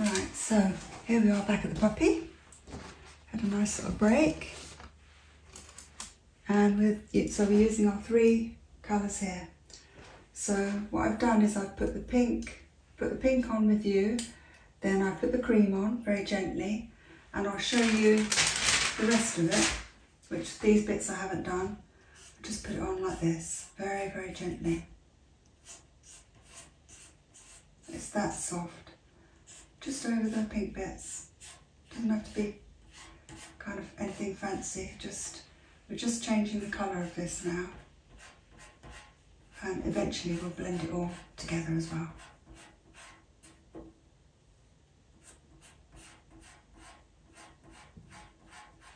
All right, so here we are back at the puppy. Had a nice little break. And with so we're using our three colours here. So what I've done is I've put the pink, put the pink on with you, then I put the cream on very gently, and I'll show you the rest of it, which these bits I haven't done. just put it on like this, very, very gently. It's that soft. Just over the pink bits. Doesn't have to be kind of anything fancy. Just We're just changing the colour of this now. And eventually we'll blend it all together as well.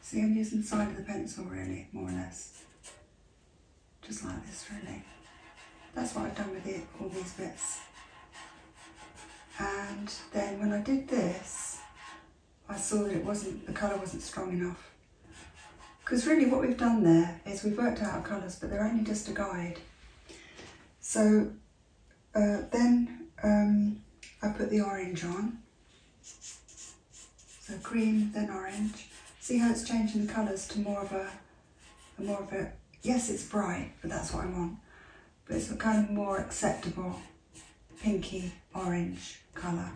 See, I'm using to use of the pencil really, more or less. Just like this really. That's what I've done with it, all these bits. And then when I did this, I saw that it wasn't, the colour wasn't strong enough. Because really what we've done there is we've worked out our colours, but they're only just a guide. So uh, then um, I put the orange on so green, then orange. See how it's changing the colours to more of a, more of a, yes it's bright, but that's what I want. But it's a kind of more acceptable pinky orange colour.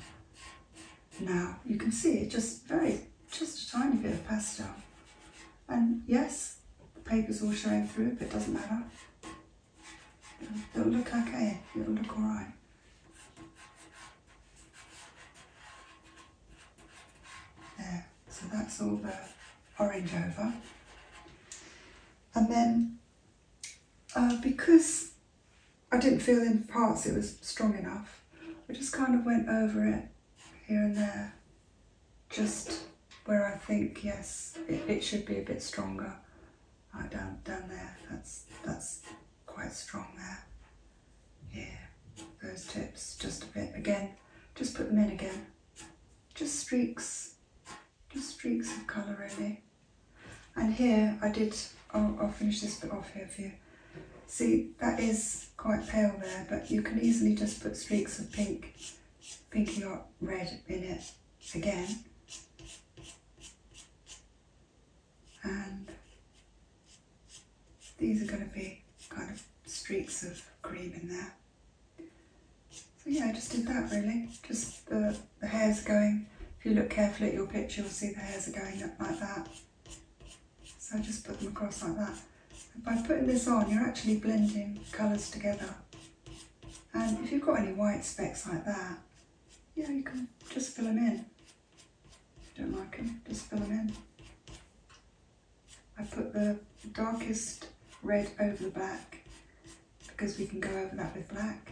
Now you can see it's just very, just a tiny bit of pastel. And yes, the paper's all showing through, but it doesn't matter. It'll, it'll look okay, it'll look alright. There, so that's all the orange over. And then uh, because I didn't feel in parts it was strong enough, I just kind of went over it here and there, just where I think, yes, it, it should be a bit stronger. Right uh, down, down there, that's, that's quite strong there. Yeah, those tips, just a bit. Again, just put them in again. Just streaks, just streaks of colour really. And here I did, I'll, finish this bit off here for you. See, that is quite pale there, but you can easily just put streaks of pink, pinky or red in it again and these are going to be kind of streaks of cream in there. So yeah, I just did that really, just the, hairs going, if you look carefully at your picture you'll see the hairs are going up like that. So I just put them across like that. by putting this on you're actually blending colours together. And if you've got any white specks like that, yeah, you can just fill them in. Don't like them, just fill them in. I put the darkest red over the back because we can go over that with black.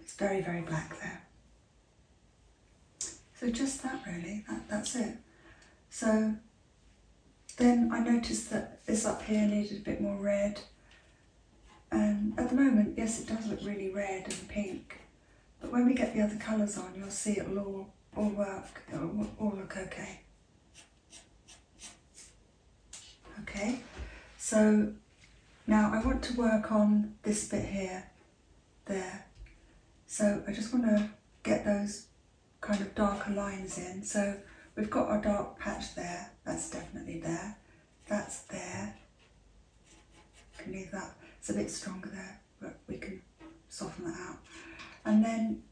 It's very, very black there. So just that really, that, that's it. So then I noticed that this up here needed a bit more red. And at the moment, yes, it does look really red and pink, but when we get the other colours on, you'll see it'll all, all work, it'll all look okay. Okay, so now I want to work on this bit here, there. So I just want to get those kind of darker lines in. So we've got our dark patch there, that's definitely there, that's there, can leave that. It's a bit stronger there, but we can soften that out. And then,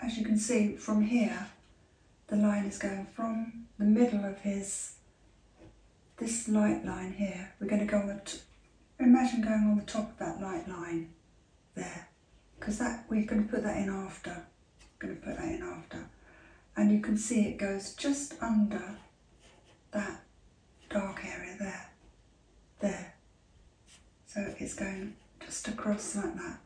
as you can see from here, the line is going from the middle of his, this light line here. We're going to go on the, imagine going on the top of that light line there, because that we're going to put that in after. Going to put that in after, and you can see it goes just under that dark area there, there. So it's going just across like that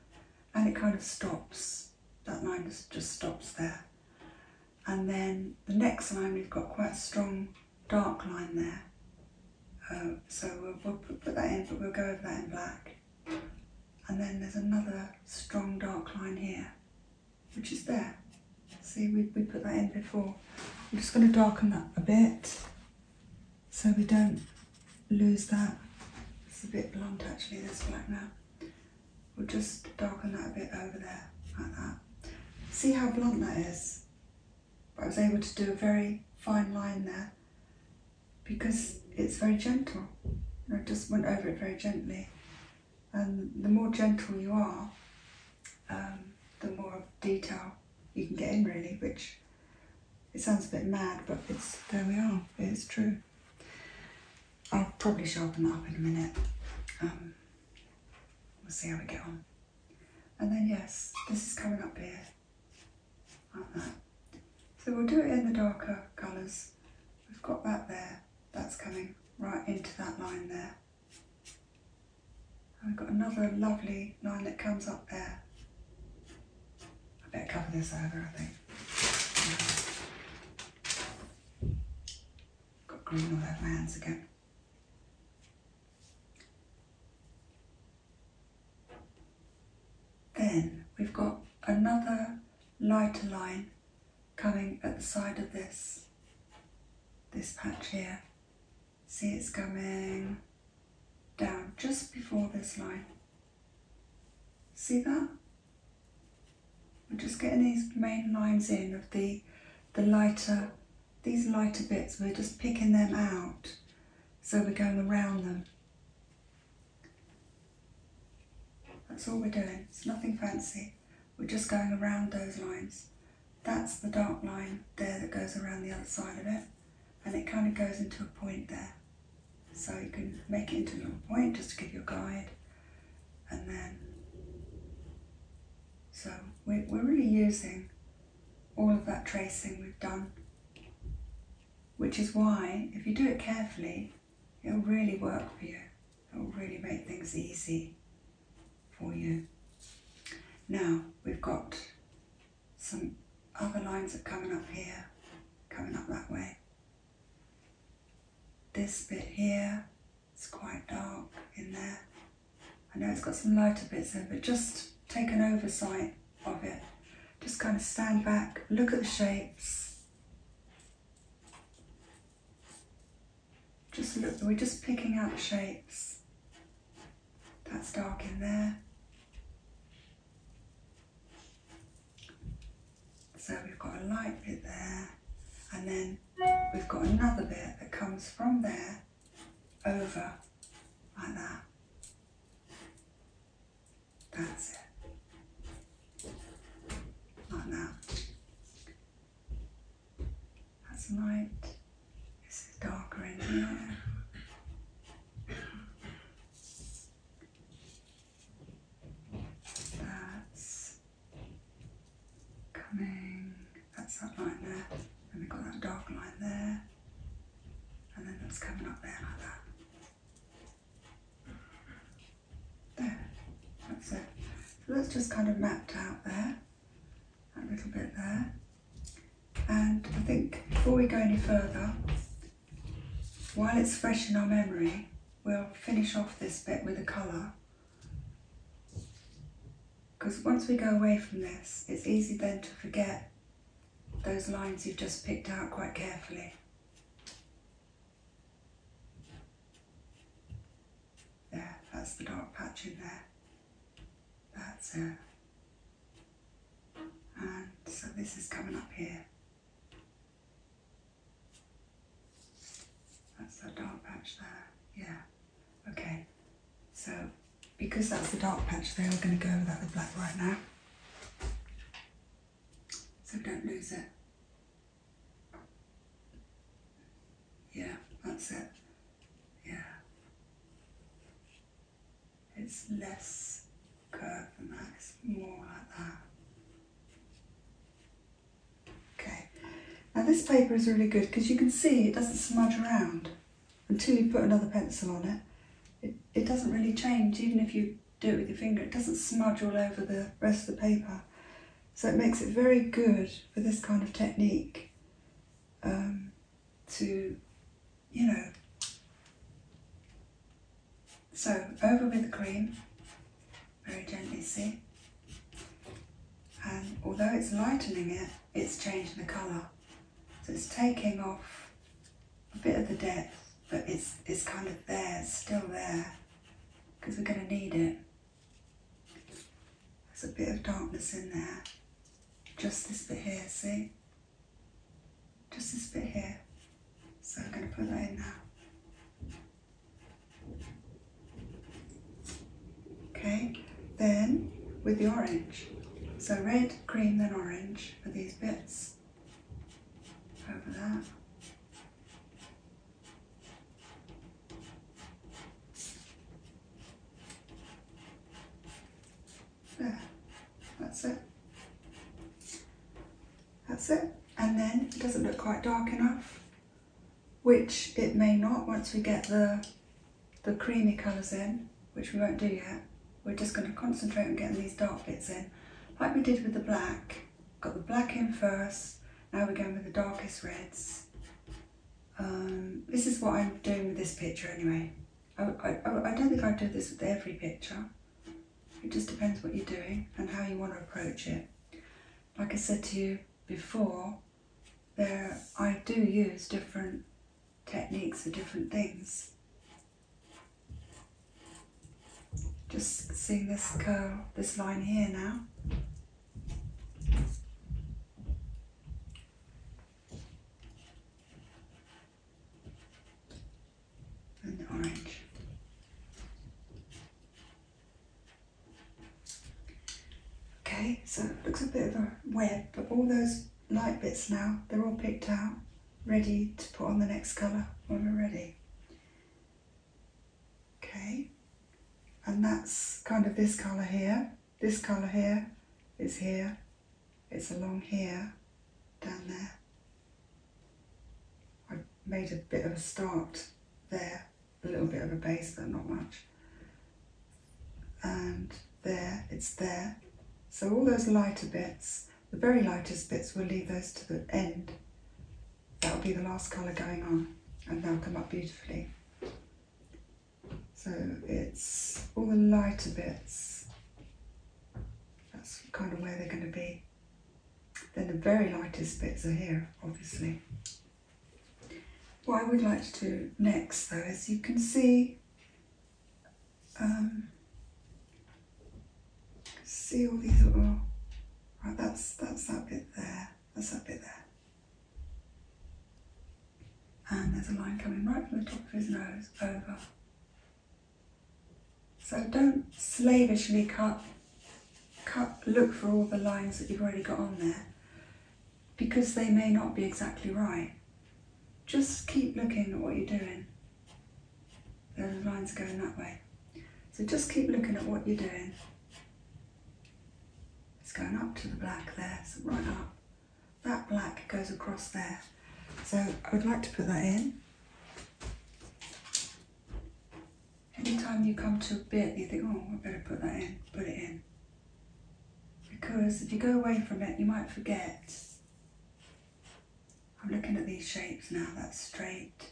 and it kind of stops. That line just, stops there. And then the next line we've got quite a strong dark line there. Um, so we'll, we'll put that in but we'll go over that in black. And then there's another strong dark line here which is there. See, we, we put that in before. I'm just going to darken that a bit so we don't lose that. It's a bit blunt actually, this black now. We'll just darken that a bit over there, like that. See how blunt that is? But I was able to do a very fine line there because it's very gentle. I just went over it very gently. And the more gentle you are, um, the more detail you can get in really, which it sounds a bit mad, but it's there we are, it's true. I'll probably sharpen that up in a minute. Um, we'll see how we get on. And then yes, this is coming up here, like that. So we'll do it in the darker colours. We've got that there, that's coming right into that line there. I've got another lovely line that comes up there. I better cover this over, I think. Got green all over my hands again. Then we've got another lighter line coming at the side of this, this patch here. See it's coming down just before this line. See that? We're just getting these main lines in of the, the lighter, these lighter bits, we're just picking them out. So we're going around them. That's all we're doing, it's nothing fancy. We're just going around those lines. That's the dark line there that goes around the other side of it and it kind of goes into a point there. So you can make it into a point just to give you a guide and then so we're, we're really using all of that tracing we've done which is why if you do it carefully it'll really work for you. It'll really make things easy for you. Now we've got some other lines that are coming up here, coming up that way. This bit here, it's quite dark in there. I know it's got some lighter bits in it, but just take an oversight of it. Just kind of stand back, look at the shapes, just look, we're just picking out shapes. That's dark in there. So we've got a light bit there, and then we've got another bit that comes from there over like that. That's it. Like that. That's light. This is darker in here. That's coming, that's that line there. Then we got that dark line there. And then that's coming up there like that. There, that's it. So that's just kind of mapped out there a little bit there. And I think before we go any further, while it's fresh in our memory, we'll finish off this bit with a colour. Because once we go away from this, it's easy then to forget those lines you've just picked out quite carefully there, that's the dark patch in there. That's it. And so this is coming up here. That's the dark patch there, yeah. Okay, so because that's the dark patch there, we're going to go without that black right now. So don't lose it. Yeah, that's it. Yeah. It's less curved than that, it's more like that. Okay. Now this paper is really good because you can see it doesn't smudge around until you put another pencil on it. It, it doesn't really change even if you do it with your finger. It doesn't smudge all over the rest of the paper. So it makes it very good for this kind of technique um, to, you know. So over with the cream, very gently, see? And although it's lightening it, it's changing the colour. So it's taking off a bit of the depth, but it's, it's kind of there, still there, because we're going to need it. There's a bit of darkness in there just this bit here, see? Just this bit here. So I'm going to put that in now. Okay, then with the orange. So red, cream, then orange for these bits. Over that. There, that's it. That's it. And then it doesn't look quite dark enough, which it may not once we get the, the creamy colours in, which we won't do yet. We're just going to concentrate on getting these dark bits in, like we did with the black. Got the black in first, now we're going with the darkest reds. Um, this is what I'm doing with this picture anyway. I, I don't think I do this with every picture. It just depends what you're doing and how you want to approach it. Like I said to you before, there I do use different techniques for different things. Just seeing this curl, this line here now orange. Okay, so it looks a bit of a web, but all those light bits now, they're all picked out, ready to put on the next colour when we're ready. Okay, and that's kind of this colour here. This colour here is here, it's along here, down there. I made a bit of a start there, a little bit of a base there, not much. And there, it's there. So all those lighter bits, the very lightest bits, we'll leave those to the end. That'll be the last colour going on and they'll come up beautifully. So it's all the lighter bits, that's kind of where they're going to be. Then the very lightest bits are here, obviously. What I would like to do next though as you can see um, see all these little right that's that's that bit there that's that bit there and there's a line coming right from the top of his nose over. So don't slavishly cut, cut, look for all the lines that you've already got on there because they may not be exactly right. Just keep looking at what you're doing. The line's going that way. So just keep looking at what you're doing. It's going up to the black there, right up that black goes across there. So I would like to put that in. Anytime you come to a bit, you think, oh, I better put that in, put it in. Because if you go away from it, you might forget. I'm looking at these shapes now, that's straight.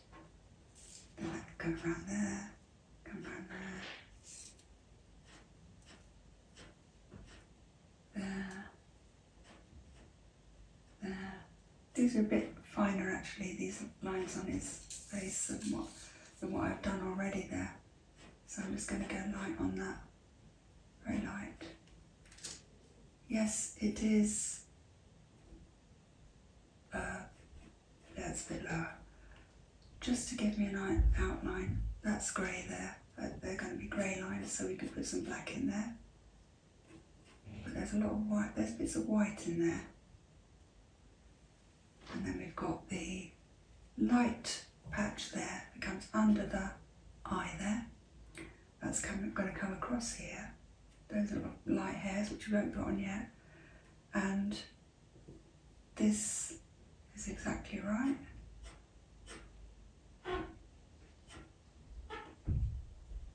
Then that could go around there, come around there there, there. These are a bit finer actually, these lines on his face than what, than what I've done already there. So I'm just going to go light on that, very light. Yes, it is, uh, that's a bit lower. Just to give me an outline, that's grey there they're going to be grey lines, so we could put some black in there. But there's a lot of white, there's bits of white in there. And then we've got the light patch there It comes under the eye there. That's coming, going to come across here. Those little light hairs, which we won't put on yet. And this is exactly right.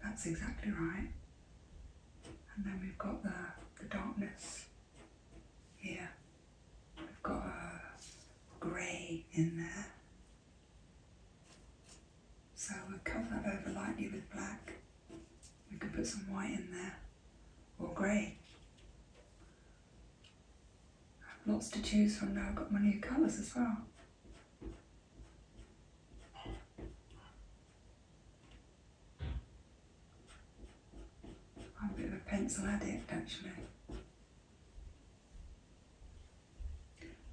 That's exactly right. And then we've got the, the darkness here. We've got a grey in there. So we'll cover that over lightly with black. We could put some white in there, or grey. I have lots to choose from now. I've got my new colours as well. I'm a bit of a pencil addict actually.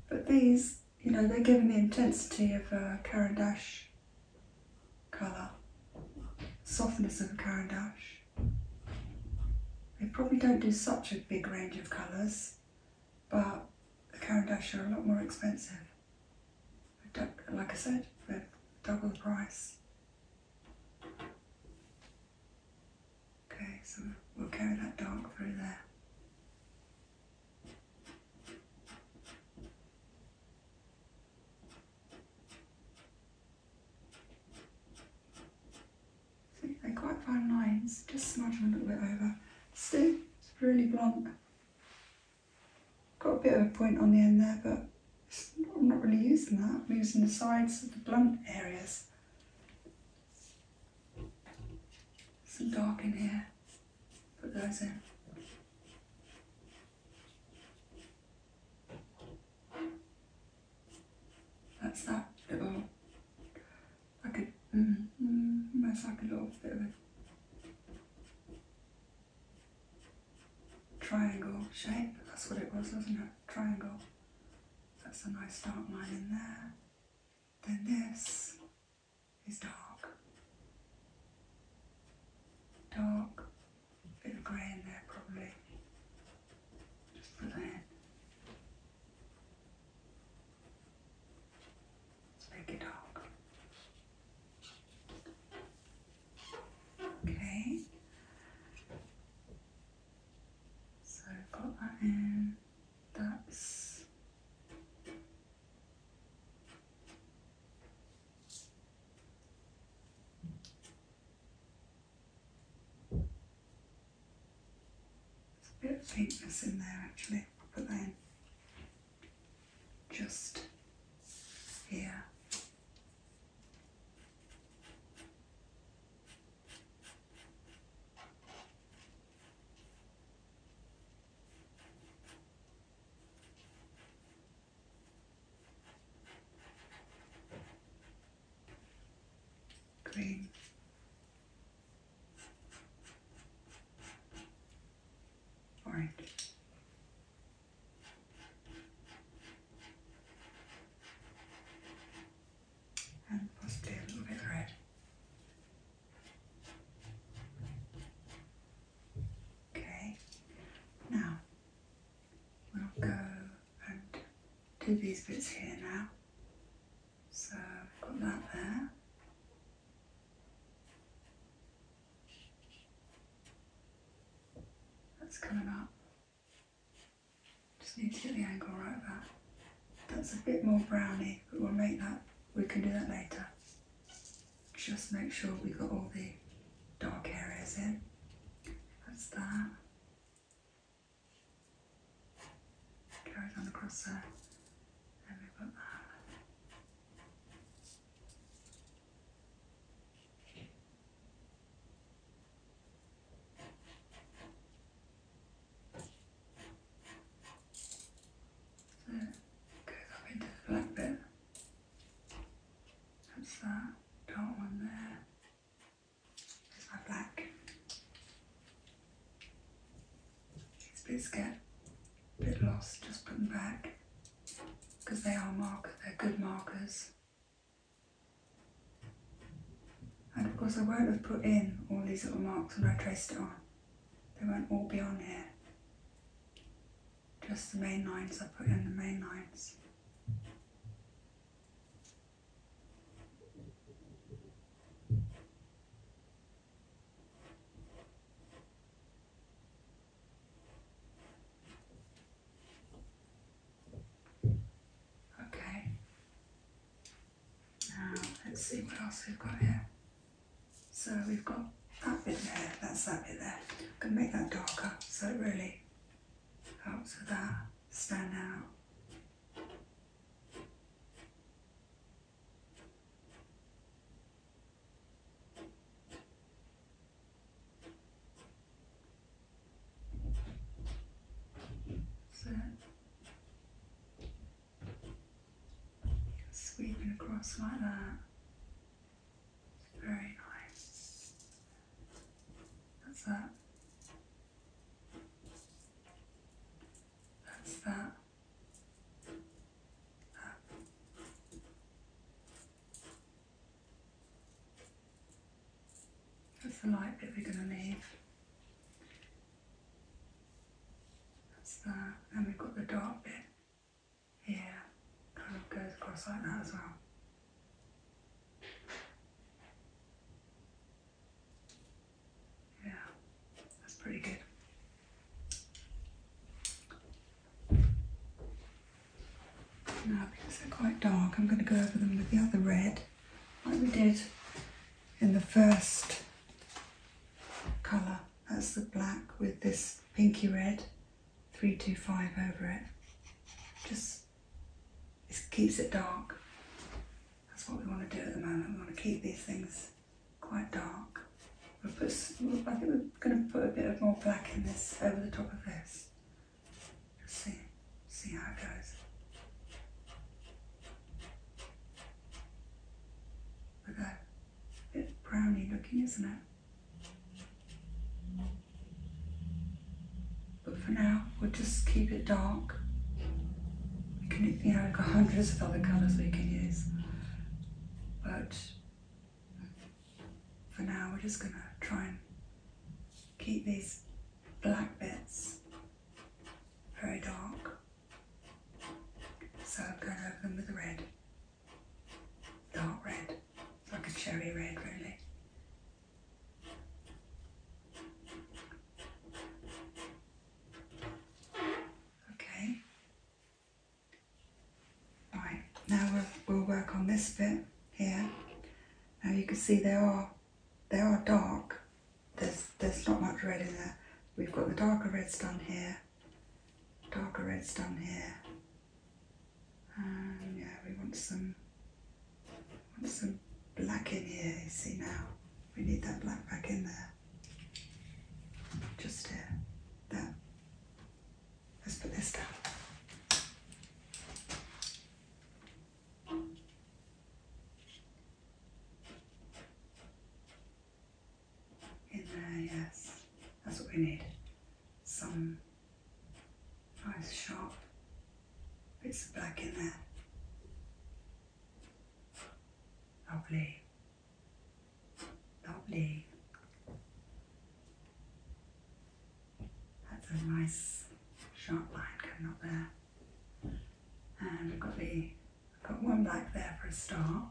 But these, you know, they're giving the intensity of a Caran d'Ache colour, softness of a Caran d'Ache. They probably don't do such a big range of colours, but the Carandash are a lot more expensive. Like I said, they're double the price. Okay, so we'll carry that dark through there they're quite fine lines, just smudge them a little bit over. Still it's really blunt. Got a bit of a point on the end there, but I'm not really using that. I'm using the sides of the blunt areas. Some dark in here. Put those in. That's that little like a mm, mm, like a little bit of a triangle shape. That's what it was, wasn't it? Triangle. That's a nice dark line in there. Then this is dark. Dark, bit of grey in there probably. Just for that. Like a dog. Okay. So got that in. That's there's a bit of faintness in there actually, but then just here. Green, All right. And let a little bit red. Okay. Now we'll go and do these bits here now. So I've got that there. That's coming up. Just need to get the angle right there. That's a bit more brownie, but we'll make that, we can do that later. Just make sure we got all the dark areas in. That's that. Carried on across there, and we've that. So it goes up into the black bit. That's that dark one there my black. These bits get a bit lost, just put them back because they are marker, they're good markers. And of course I won't have put in all these little marks when I traced it on. They won't all be on here. Just the main lines, I put in the main lines. Okay. Now let's see what else we've got here. So we've got that bit there, that's that bit there. I'm going to make that darker so it really helps with that stand out. So sweep it across like that. Very nice. That's that. That's that. That's the light that we're going to leave. That's that. And we've got the dark bit here. Kind of goes across like that as well. Yeah, that's pretty good. Now, because they're quite dark, I'm going to go over them with the other red, like we did in the first colour. That's the black with this pinky red, 325 over it. Just it keeps it dark. That's what we want to do at the moment. We want to keep these things quite dark. We'll put, I think we're going to put a bit of more black in this, over the top of this. Just see, see how it goes. Look at that. A bit browny looking, isn't it? But for now, we'll just keep it dark. We can, you know, we have got hundreds of other colours we can use. But for now, we're just going to try and keep these black bits very dark. So I'm going to them with red, dark red, like a cherry red really. Okay. Alright, now we'll, we'll work on this bit here. Now you can see they are they are dark. There's there's not much red in there. We've got the darker reds done here, darker reds done here. And um, yeah, we want some some black in here, see now. We need that black back in there. Just here. There. Let's put this down. In there, yes. That's what we need. Some nice sharp bits of black in there. Lovely. Lovely. That's a nice sharp line coming up there. And we've got the got one black there for a star.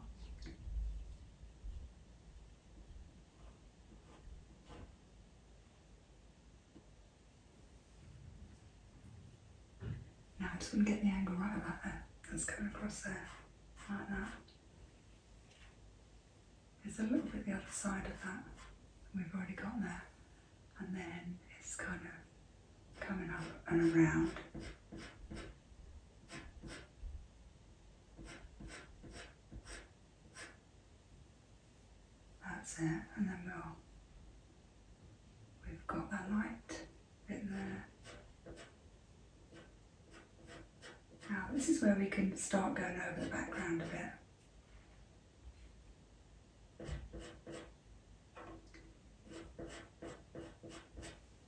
Now I just want to get the angle right about there. That's coming across there, like that. It's a little bit the other side of that we've already got there. And then it's kind of coming up and around. That's it, and then we'll, we've got that light now this is where we can start going over the background a bit.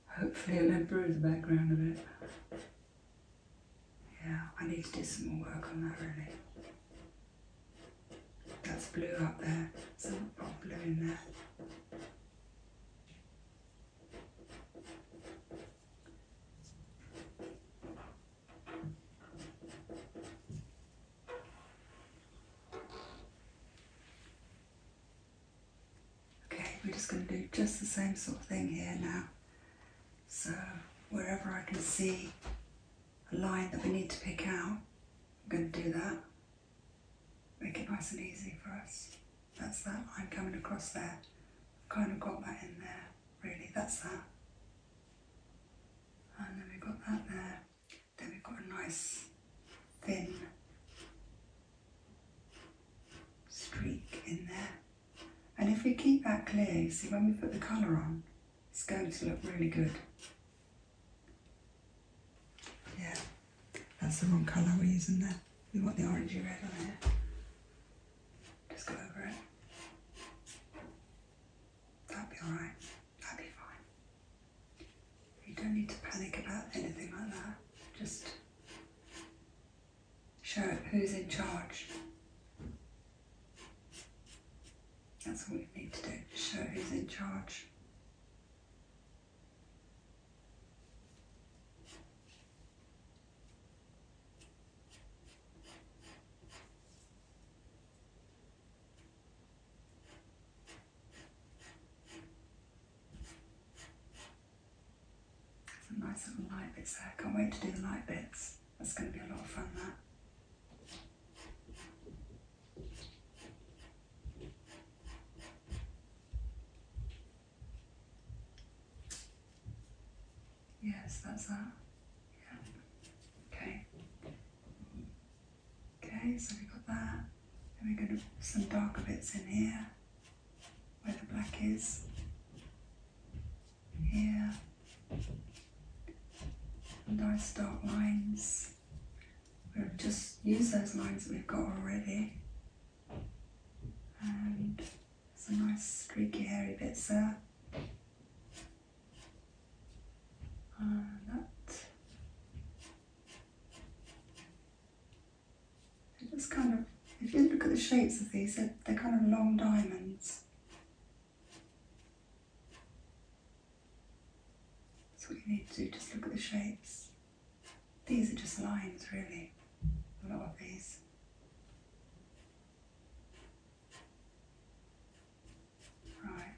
Hopefully it'll improve the background a bit. Yeah, I need to do some more work on that really. That's blue up there, some hot blue in there. Okay, we're just going to do just the same sort of thing here now. So wherever I can see a line that we need to pick out, I'm going to do that make it nice and easy for us. That's that I'm coming across there. kind of got that in there, really, that's that. And then we've got that there. Then we've got a nice thin streak in there. And if we keep that clear, see when we put the colour on, it's going to look really good. Yeah, that's the wrong colour we're using there. We want the orangey red on there. Just go over it. That'll be alright. That'll be fine. You don't need to panic about anything like that. Just show it who's in charge. That's all we need to do. Show who's in charge. Some nice little light bits there. can't wait to do the light bits. That's going to be a lot of fun, that. Yes, that's that. Yeah. Okay. Okay, so we've got that. Then we're going to put some darker bits in here, where the black is. Here. Nice dark lines. We'll just use those lines that we've got already. And some nice streaky hairy bits there. And that. they just kind of, if you look at the shapes of these, they're kind of long diamonds. So you need to just look at the shapes. These are just lines really, a lot of these. Right,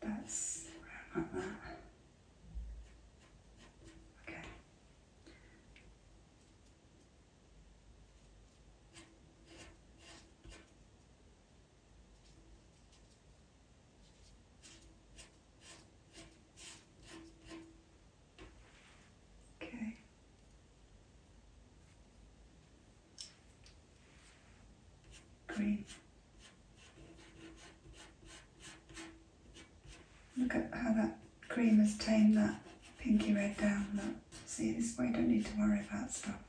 that's around like that. Okay. Okay. Green. Look at how that cream has tamed that pinky red down. Look, see this way, you don't need to worry about stuff.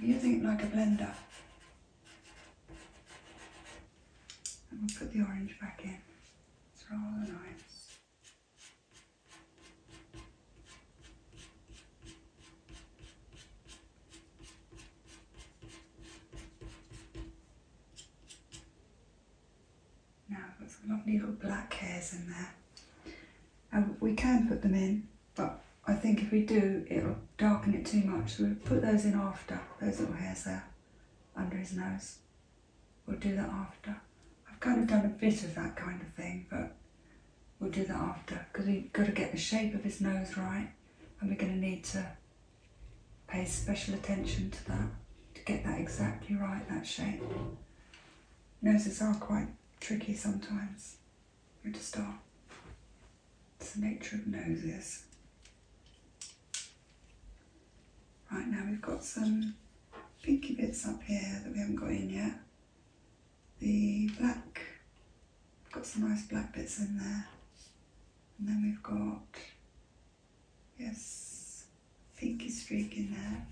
Using it like a blender. And we'll put the orange back in. It's rather nice. Now I've got some little black hairs in there. And we can put them in, but I think if we do, it'll darken it too much. So we'll put those in after, those little hairs there, under his nose. We'll do that after. I've kind of done a bit of that kind of thing, but we'll do that after because we've got to get the shape of his nose right and we're going to need to pay special attention to that to get that exactly right, that shape. Noses are quite tricky sometimes. We just are. It's the nature of noses. Right now we've got some pinky bits up here that we haven't got in yet. The black, got some nice black bits in there. And then we've got, yes, pinky streak in there.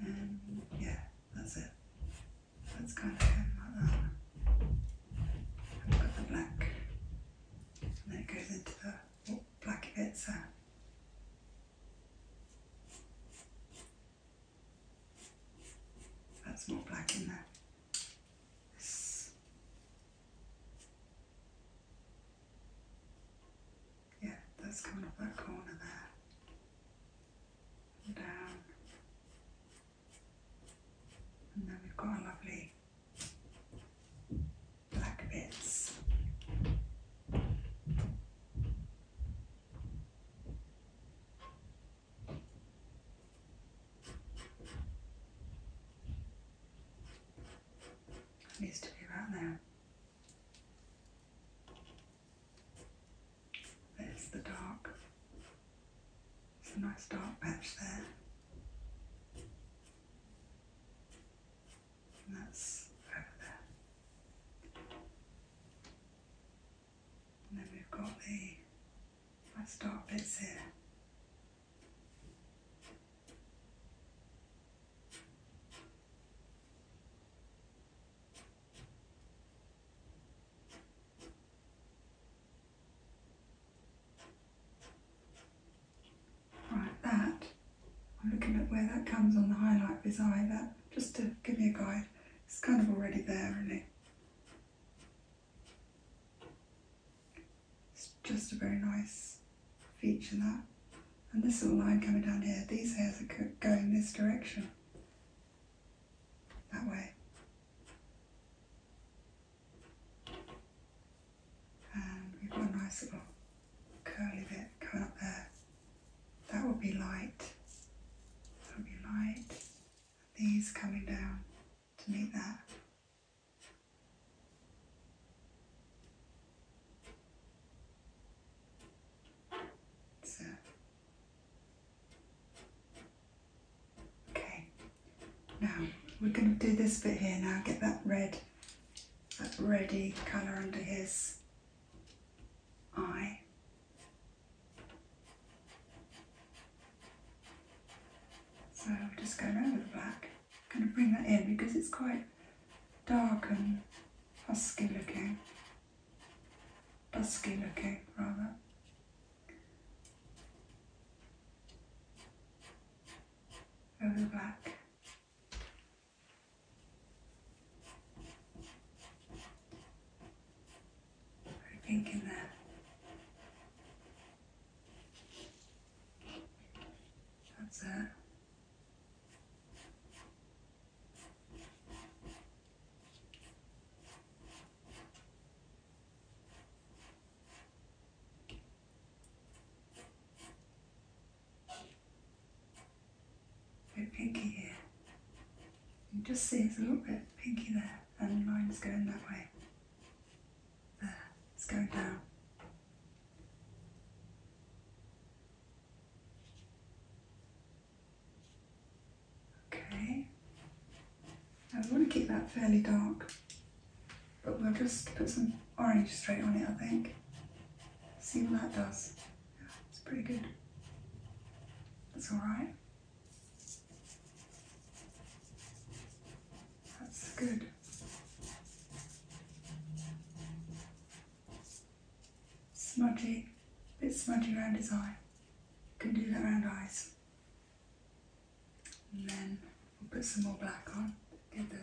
Mm, yeah, that's it. That's kind of him. Uh, I've got the black. And it goes into the oh, black bits there. That's more black in there. Yeah, that's coming up that corner there. And down. And then we've got a lovely black bits. Used to be about there. There's the dark. It's a nice dark patch there. that's over there. And then we've got the nice dark bits here. Right, that, I'm looking at where that comes on the highlight of his eye, that, just to give you a guide, it's kind of already there, isn't it? It's just a very nice feature that. And this little line coming down here, these hairs are going this direction, that way. And we've got a nice little curly bit coming up there. That will be light. That will be light. These coming down to meet that. So. Okay, now we're going to do this bit here now, get that red, that ready colour under his eye. So I'm just going over the black. I'm going to bring that in because it's quite dark and husky looking. husky looking, rather. Over the black. Very pink in there. That's it. Bit pinky here. You just see it's a little bit pinky there and the line's going that way. There, it's going down. Okay. I want to keep that fairly dark, but we'll just put some orange straight on it, I think. See what that does. it's pretty good. That's alright. That's good. Smudgy, a bit smudgy around his eye. Can do that around eyes. And then we'll put some more black on. Get the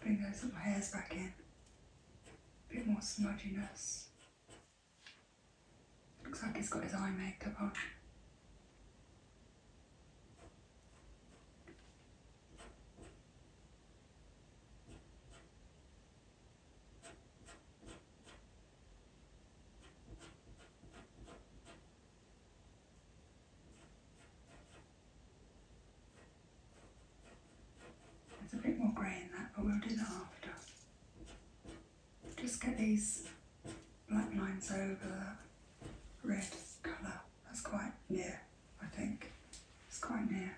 bring those little hairs back in. A bit more smudginess. Looks like he's got his eye makeup on. There's a bit more grey in that, but we'll do that after. Just get these black lines over that red colour. That's quite near, I think. It's quite near.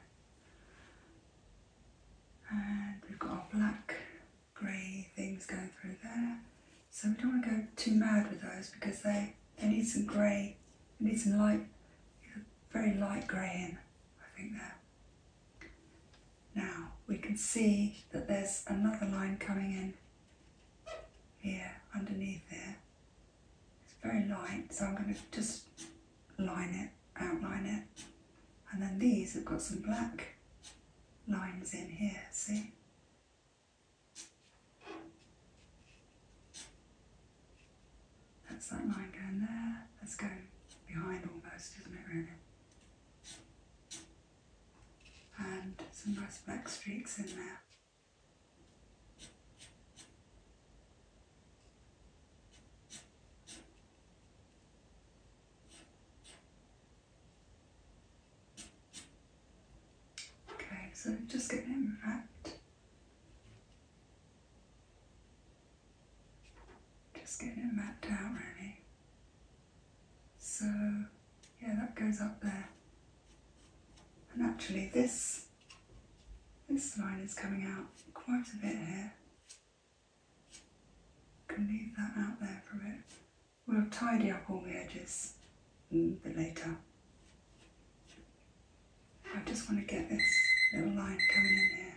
And we've got our black grey things going through there. So we don't want to go too mad with those because they, they need some grey, they need some light, very light grey in, I think there. Now we can see that there's another line coming in here underneath there. It's very light, so I'm going to just line it, outline it. And then these have got some black lines in here, see? That's that line going there, Let's go behind almost, isn't it really? And some nice black streaks in there. Okay, so just get him wrapped. Just get him mapped out really. So yeah, that goes up there. And actually this, this line is coming out quite a bit here. Can leave that out there for a We'll tidy up all the edges a bit later. I just want to get this little line coming in here.